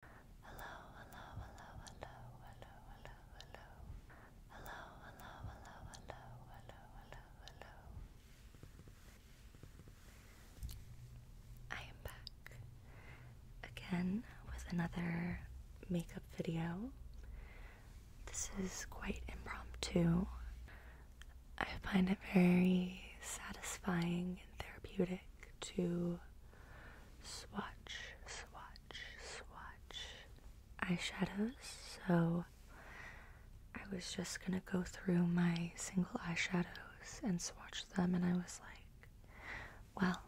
Hello, hello, hello, hello, hello, hello, hello. Hello, hello, hello, hello, hello, I am back again with another makeup video. This is quite impromptu. I find it very satisfying and therapeutic to swatch, swatch, swatch eyeshadows. So I was just gonna go through my single eyeshadows and swatch them, and I was like, well,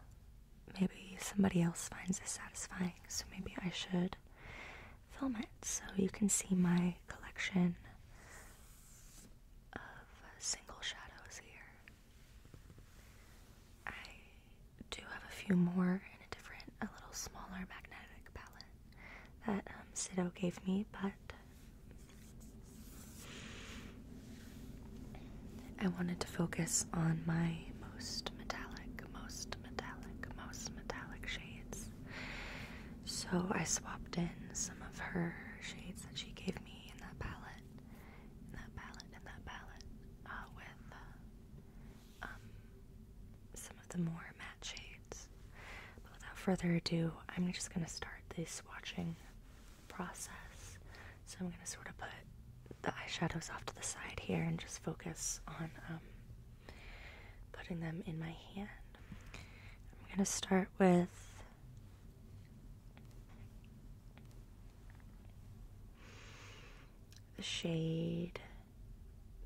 maybe somebody else finds this satisfying, so maybe I should film it so you can see my collection of single shadows here. I do have a few more in a different, a little smaller magnetic palette that um, Sido gave me, but I wanted to focus on my most metallic, most metallic, most metallic shades. So I swapped in some of her shades that she gave me in that palette that palette and that palette uh, with uh, um, some of the more matte shades. But without further ado, I'm just going to start this swatching process. So I'm going to sort of put the eyeshadows off to the side here and just focus on um, putting them in my hand. I'm going to start with the shade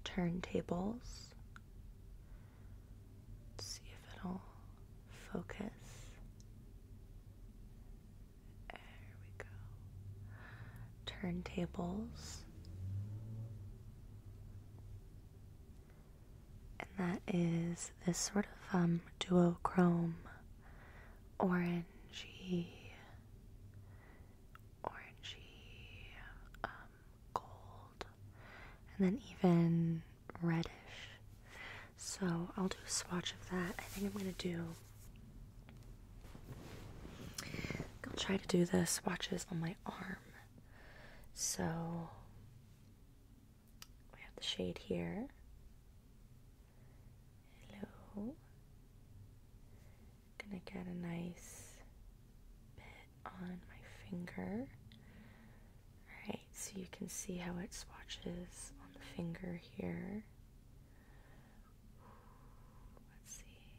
turntables. see if it'll focus. There we go. Turntables. And that is this sort of um duochrome orangey, orangey, um, gold, and then even reddish. So I'll do a swatch of that. I think I'm gonna do. I'll try to do the swatches on my arm. So we have the shade here. Hello. I'm gonna get a nice bit on my finger. Alright, so you can see how it swatches on the finger here. Let's see.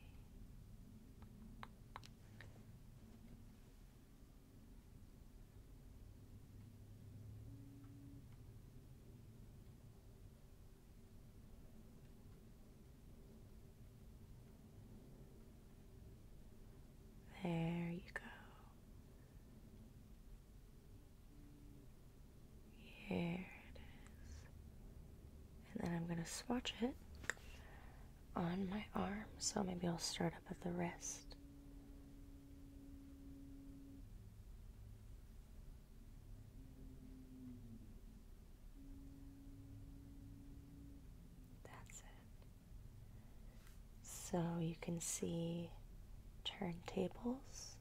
There you go. Here it is. And then I'm going to swatch it on my arm. So maybe I'll start up at the wrist that's it. So you can see turntables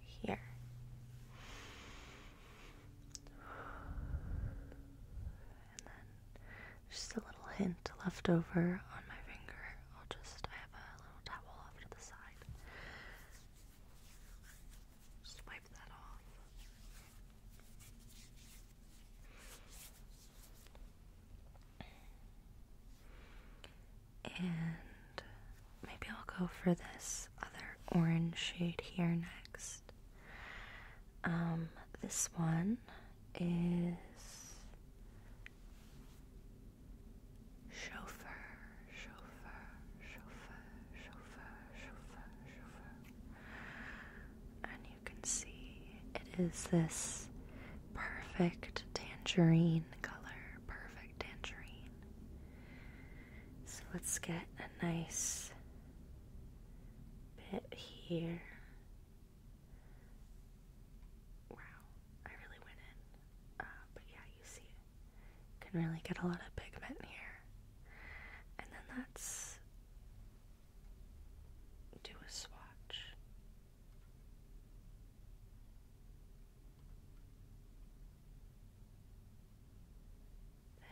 here. And then just a little hint left over on my finger. I'll just, I have a little towel off to the side. Just wipe that off. And maybe I'll go for this other orange shade here next. Um, this one is Chauffeur, chauffeur, chauffeur, chauffeur, chauffeur, chauffeur. And you can see it is this perfect tangerine color, perfect tangerine. So let's get a nice bit here Wow, I really went in. Uh, but yeah, you see, can really get a lot of pigment here. And then that's do a swatch. There.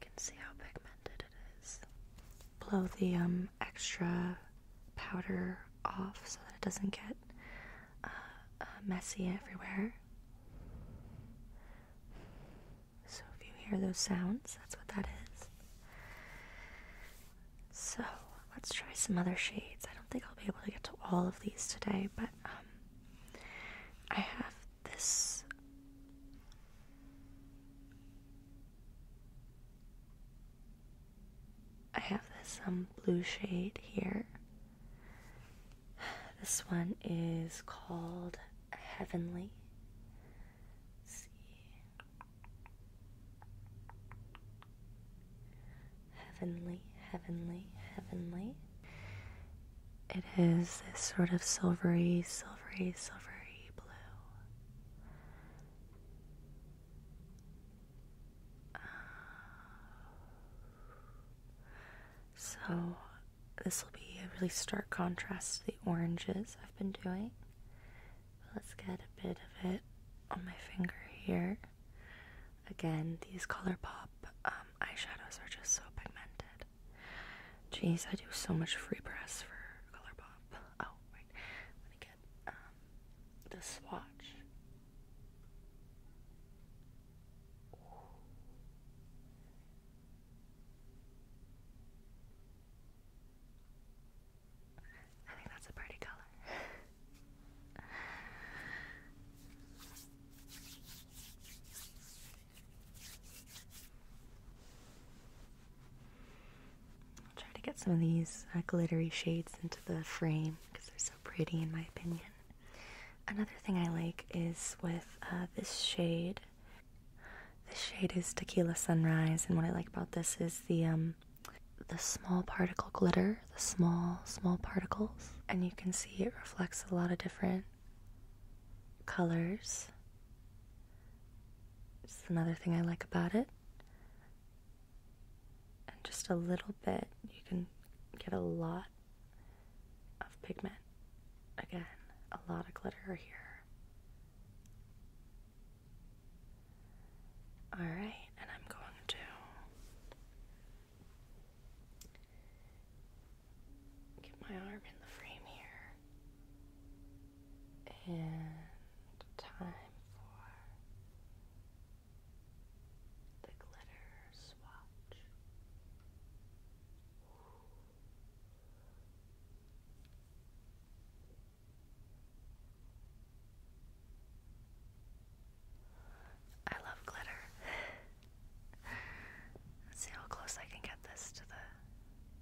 You can see how pigmented it is. Blow the um, extra powder off so that it doesn't get uh, uh, messy everywhere. So if you hear those sounds, that's what that is. So let's try some other shades. I don't think I'll be able to get to all of these today, but um, I have this I have this um blue shade here. This one is called Heavenly. see. Heavenly, heavenly, heavenly. It is this sort of silvery, silvery, silvery um, so, this will be a really stark contrast to the oranges I've been doing. Let's get a bit of it on my finger here. Again, these ColourPop um, eyeshadows are just so pigmented. Jeez, I do so much free press for Color Pop. Oh, right. I'm gonna get um, the swatch. I think that's a pretty color. I'll try to get some of these uh, glittery shades into the frame because they're so pretty, in my opinion. Another thing I like is with uh, this shade. This shade is Tequila Sunrise, and what I like about this is the um, the small particle glitter, the small small particles, and you can see it reflects a lot of different colors. It's another thing I like about it. And just a little bit, you can get a lot of pigment. Again, a lot of glitter here. Alright, and I'm going to Get my arm in the frame here. And time for the glitter swatch. I love glitter. see how close I can get this to the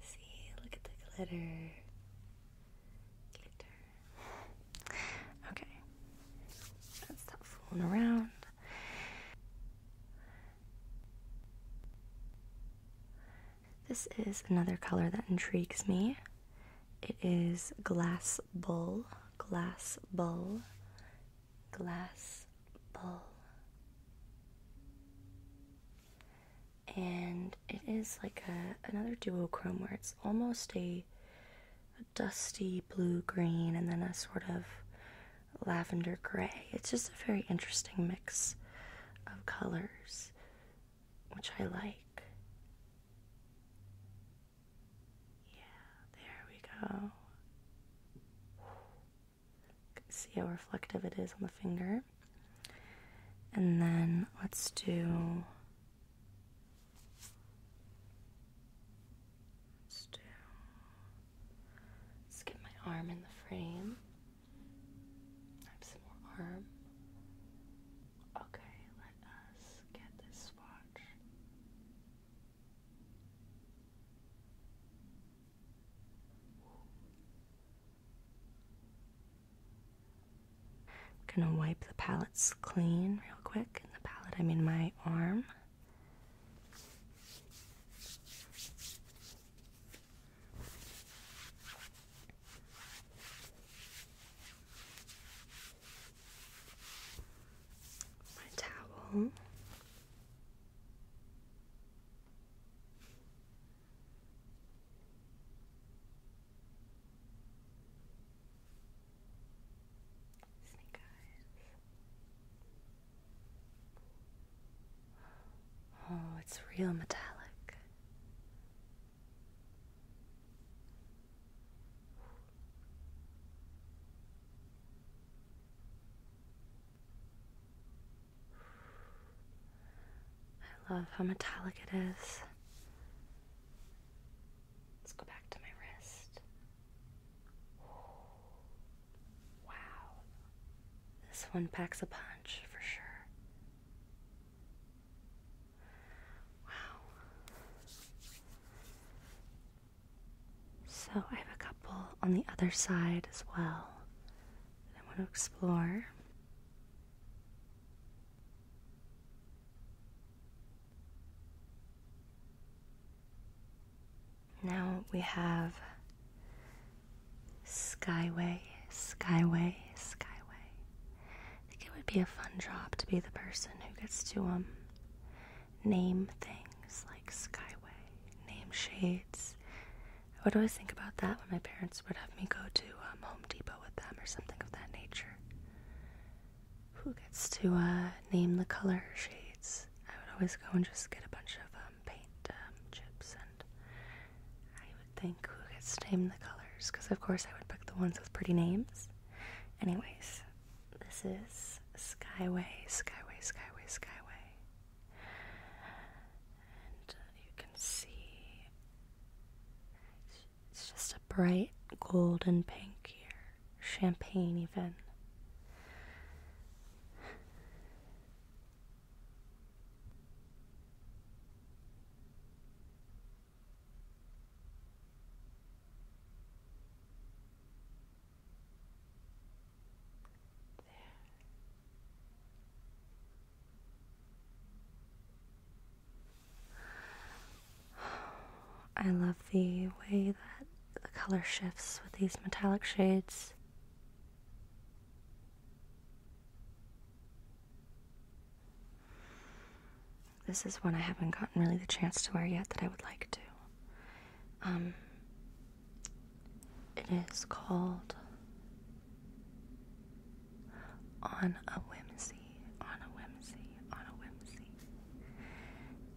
See, look at the glitter. Okay. Let's stop fooling around. This is another color that intrigues me. It is Glass Bull glass bowl, glass bowl. And it is like another duochrome where it's almost a dusty blue green and then a sort of lavender gray. It's just a very interesting mix of colors, which I like. Yeah, there we go. See how reflective it is on the finger. And then let's do. Let's do. Let's get my arm in the frame. I some more arm. Okay, let us get this spot gonna wipe the palettes clean real quick. In the palette, I mean my arm my towel. Snake Oh, it's real metallic. I love how metallic it is. Let's go back to my wrist. Wow. This one packs a punch for sure. Wow. So I have a couple on the other side as well that I want to explore. Now we have Skyway, Skyway, Skyway. I think it would be a fun job to be the person who gets to um name things like Skyway, name shades. I would always think about that when my parents would have me go to um, Home Depot with them or something of that nature. Who gets to uh, name the color shades? I would always go and just get a bunch of um, paint um, chips, and I would think who gets to name the colors because, of course, I would pick the ones with pretty names. Anyways, this is Skyway, Skyway, Skyway, Skyway. And uh, you can see it's just a bright golden pink here, champagne even. I love the way that the color shifts with these metallic shades. This is one I haven't gotten really the chance to wear yet that I would like to. Um, it is called On a Whimsy, On a Whimsy, On a Whimsy.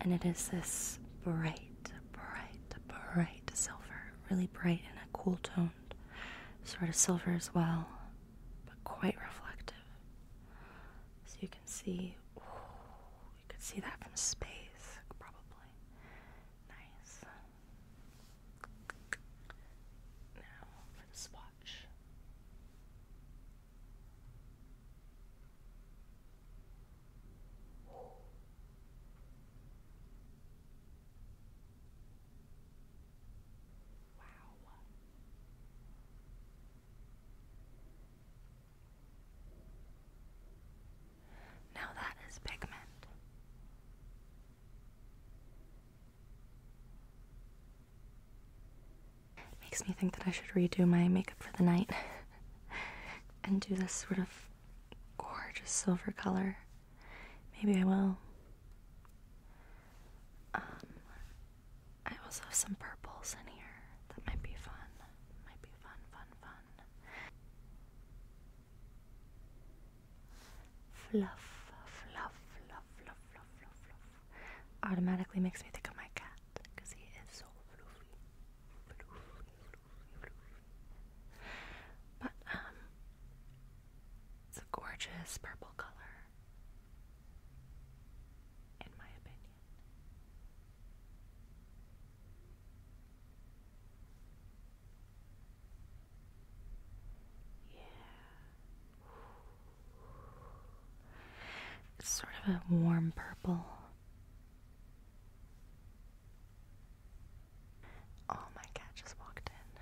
And it is this bright, bright, bright silver, really bright and a cool toned sort of silver as well, but quite reflective. So you can see, you could see that from space, probably. Nice. Now for the swatch. Wow. Now that is pigment. Makes me think that I should redo my makeup for the night and do this sort of gorgeous silver color. Maybe I will. Um, I also have some purples in here. That might be fun. Might be fun, fun, fun. Fluff, fluff, fluff, fluff, fluff, fluff, fluff. Automatically makes me think of my cat because he is so fluffy. Fluffy, fluffy, fluffy. But, um, it's a gorgeous purple color, in my opinion. Yeah. It's sort of a warm purple. Oh, my cat just walked in.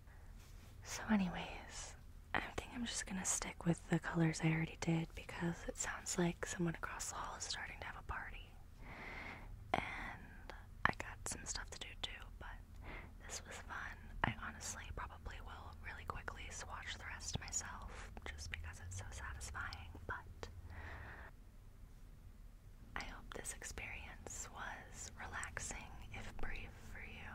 So, anyways, I think I'm just gonna stick with the colors I already did because it sounds like someone across the hall is starting to have a party. And I got some stuff to do too, but this was fun. I honestly probably will really quickly swatch the rest myself just because it's so satisfying, but I hope this experience was relaxing, if brief, for you.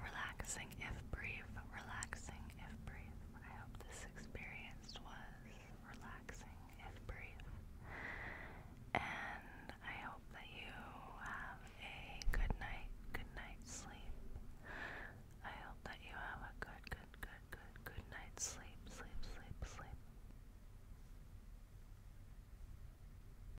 Relaxing if brief, relaxing if brief. I hope this experience was relaxing if brief. And I hope that you have a good night, good night's sleep. I hope that you have a good, good, good, good, good night's sleep, sleep, sleep, sleep.